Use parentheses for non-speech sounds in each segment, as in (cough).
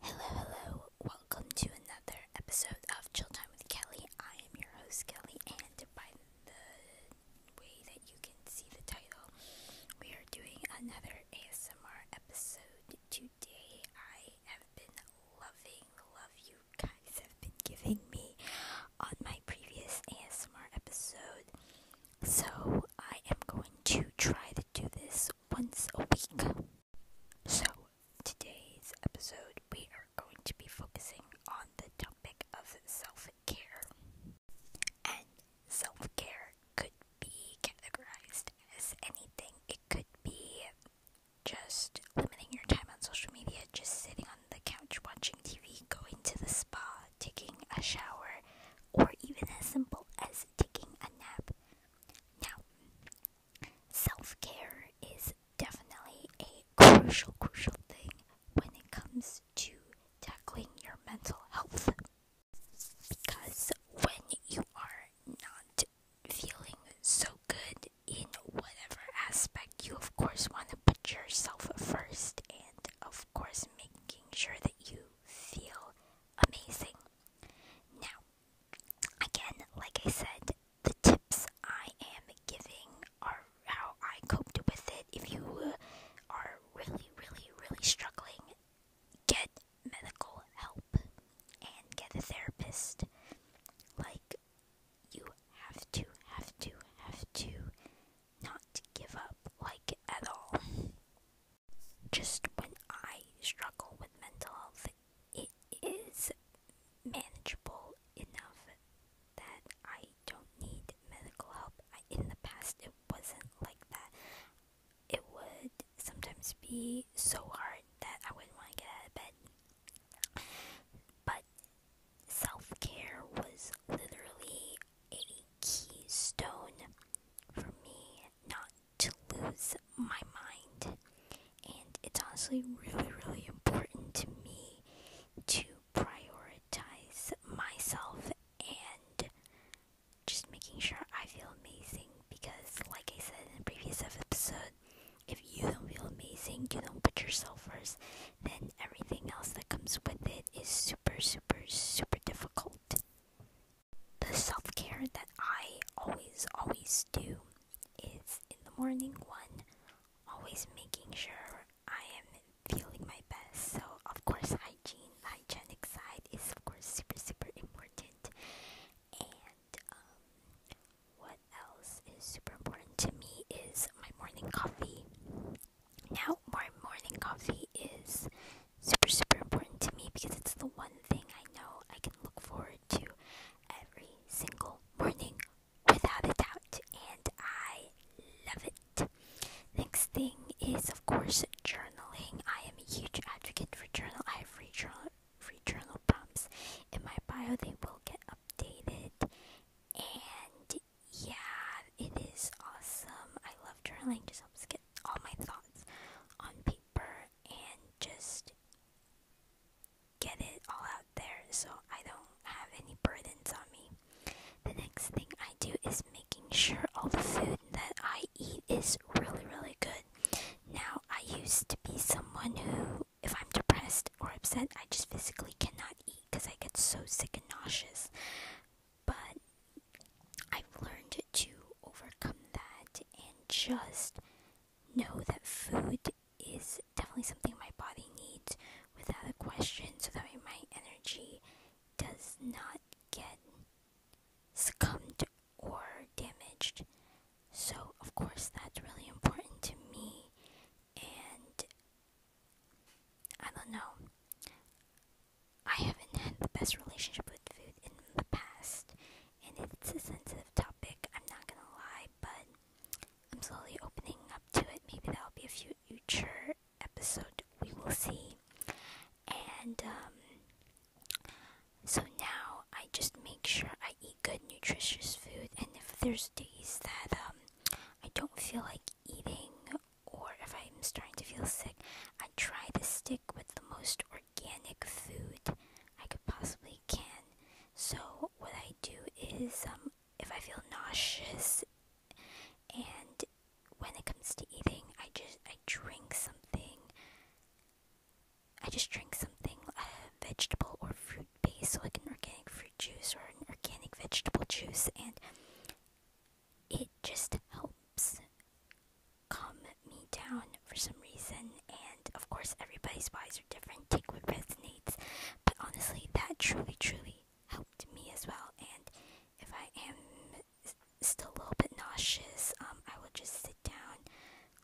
Hello, hello. Welcome to another episode of Chill Time with Kelly. I am your host, Kelly, and by the way that you can see the title, we are doing another ASMR episode today. I have been loving the you guys have been giving me on my previous ASMR episode. So, I am going to try to do this once a week. So, today's episode, we are going to be focusing on the topic of self care. And self care could be categorized as anything, it could be just limiting your time on social media, just sitting on the couch watching TV, going to the spa, taking a shower, or even as simple as taking a nap. Now, self care is definitely a crucial, crucial thing when it comes to tackling your mental health. Because when you are not feeling so good in whatever aspect, you of course want to put yourself first and, of course, making sure that you feel amazing. Now, again, like I said, the tips I am giving are how I coped with it. If you are really, really, really struggling, get medical help and get a therapist. Like, you have to, have to, have to not give up, like, at all just when I struggle with mental health, it is manageable enough that I don't need medical help. in the past, it wasn't like that. It would sometimes be so hard that I wouldn't want to get out of bed. But self care was literally a keystone for me not to lose my mind. And it's honestly really, really important to me to prioritize myself and just making sure I feel amazing because, like I said in the previous episode, if you don't feel amazing, you don't put yourself first, then everything else that comes with it is super, super, super difficult. The self care that I always, always do is in the morning one, always making sure I am feeling my best. So, of course, hygiene, hygienic side is, of course, super, super important. And um, what else is super important to me is my morning coffee. Now, my morning coffee is super, super important to me because it's the one thing I know I can look forward to every single morning without a doubt, and I love it. Next thing is, of course, journaling. I am a huge advocate for journal. I have free journal, free journal prompts in my bio. They will get updated, and yeah, it is awesome. I love journaling. Just helps get all my thoughts on paper and just get it all out there so I don't have any burdens on me. The next thing I do is making sure all the food that I eat is really, really good. Now, I used to be someone who, if I'm depressed or upset, I just physically cannot eat because I get so sick and nauseous. But I've learned to overcome that and just know that food is definitely something my body needs without a question so that my energy does not get succumbed or damaged. So, of course, that's really important to me, and I don't know. I haven't had the best relationship with food in the past, and it's a sensitive topic, I'm not gonna lie, but I'm slowly opening up to it. Maybe that'll be a future episode, we will see. And, um, so now I just make sure I eat good, nutritious food, and if there's days that, um, I don't feel like eating or if I'm starting to feel sick, I try to stick with the most organic food I could possibly can. So what I do is, um, if I feel nauseous, and when it comes to eating, I just I drink something. I just drink something, a uh, vegetable or fruit base, so like an organic fruit juice or an organic vegetable juice, and it just helps calm me down for some reason. And of course, everybody's vibes are different. Take what resonates. But honestly, that truly, truly helped me as well. And if I am still a little bit nauseous, um, I will just sit down,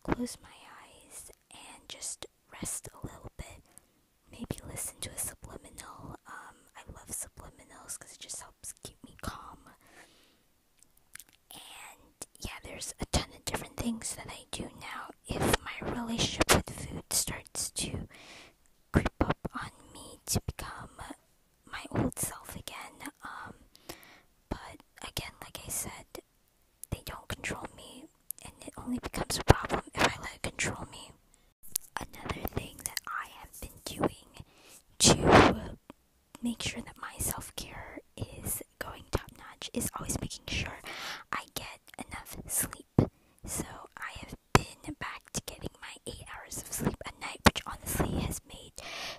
close my eyes, and just rest a little bit. Maybe listen to a subliminal. Um, I love subliminals because it just helps keep me calm. And yeah, there's a ton of different things that I do now. If my relationship with food starts to creep up on me to become my old self again, um, but again, like I said, they don't control me, and it only becomes a problem if I let it control me. Another thing that I have been doing to make sure that my self care is going top notch is always making sure I get enough sleep. So I have been back to getting my eight hours of sleep a night, which honestly has made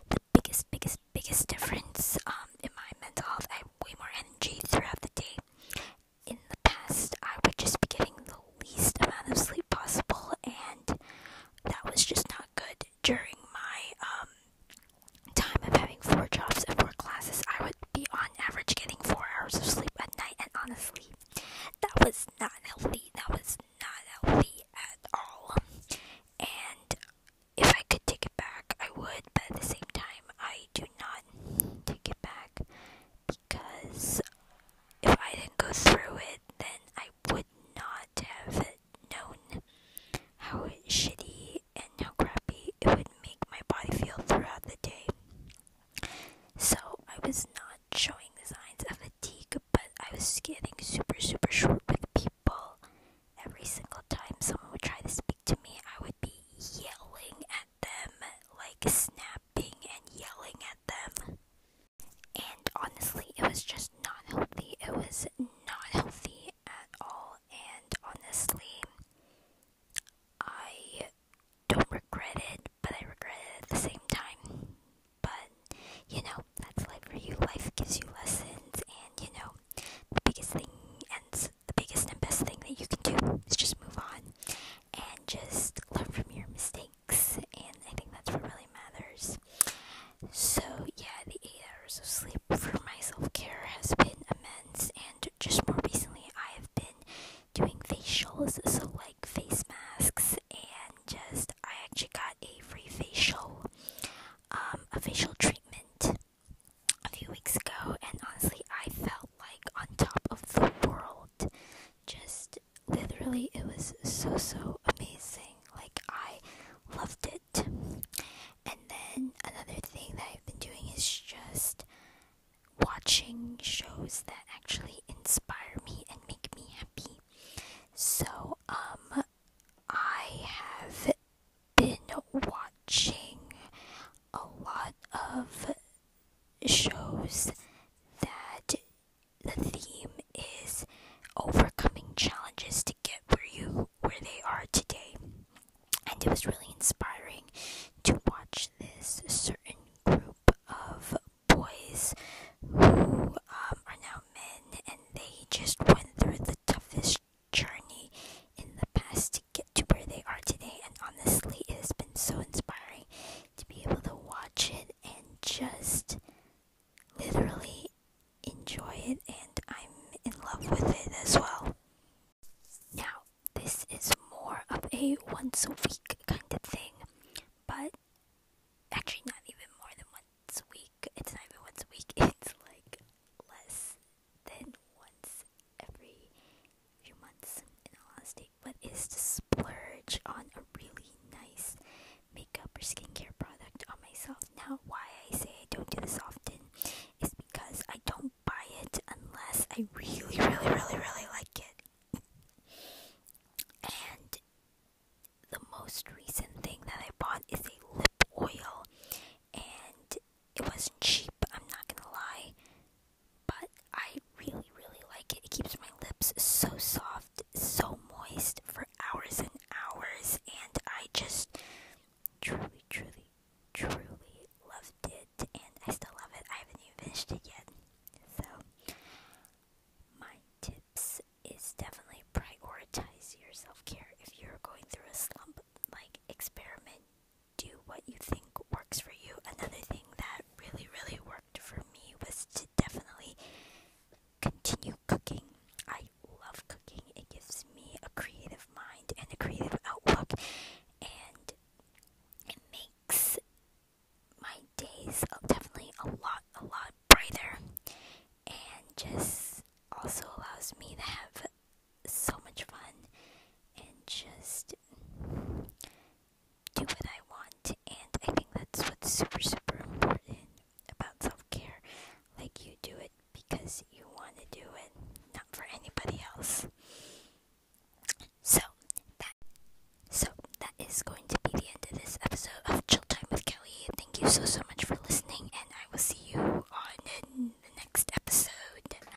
the biggest, biggest, biggest difference um, in my mental health. I have way more energy throughout the day. In the past, I would just be getting the least amount of sleep possible, and that was just not good. During my um, time of having four jobs and four classes, I would be on average getting four hours of sleep at night, and honestly, that was not healthy. That was not healthy at all. And if I could take it back, I would, but at the same time, I do not take it back because if I didn't go through it, then I would not have known how shitty and how crappy it would make my body feel throughout the day. So I was not showing the signs of fatigue, but I was getting super, super short with people. Every single time someone would try to speak to me, I would be yelling at them, like snapping and yelling at them. And honestly, it was just not healthy. It was not healthy at all. And honestly, I don't regret it, but I regret it at the same time. But, you know, that's life for you. Life gives you lessons, and, you know, the biggest thing and the biggest and best thing that you can do is just move on and just learn from your mistakes. And I think that's what really matters. So, yeah, the eight hours of sleep for my self care has been immense. And just more recently, I have been doing facials, so like face masks, and just I actually got a free facial, um, a facial treatment a few weeks ago, and honestly, I felt like on top of the world just literally it was so so amazing like i loved it and then another thing that i've been doing is just watching shows that actually inspire me and make me happy so um i have been watching a lot of shows that the theme is overcoming challenges to get where you where they are today. And it was really inspiring to watch this certain group of boys who um, are now men and they just went through the toughest journey in the past to get to where they are today. And honestly, it has been so inspiring to be able to watch it and just literally enjoy it, and I'm in love with it as well. Now, this is more of a once a week kind of thing, but actually, not even more than once a week. It's not even once a week, (laughs) it's like less than once every few months in a lot of but is to splurge on a really nice makeup or skincare product on myself. Now, why I say I don't do this often is because I don't buy it unless I really, really, really, really like it. and the most recent thing that I bought is a lip oil, and it wasn't cheap, I'm not gonna lie but I really, really like it. It keeps my lips so soft, so moist for hours and hours, and I just truly, truly, truly loved it, and I still love it. I haven't even finished it yet. So, my tips is definitely prioritize your self care if you're going through a slump. Like, experiment do what you think works for you. Another thing that really, really worked for me was to definitely continue cooking. I love cooking, it gives me a creative mind and a creative outlook, and it makes my days definitely a lot, a lot brighter, and just also allows me to have so much fun and just do what I want. And I think that's what's super, super important about self care. Like, you do it because you want to do it, not for anybody else. So so that is going to be the end of this episode of Chill Time with Kelly. Thank you so so much for listening, and I will see you on the next episode.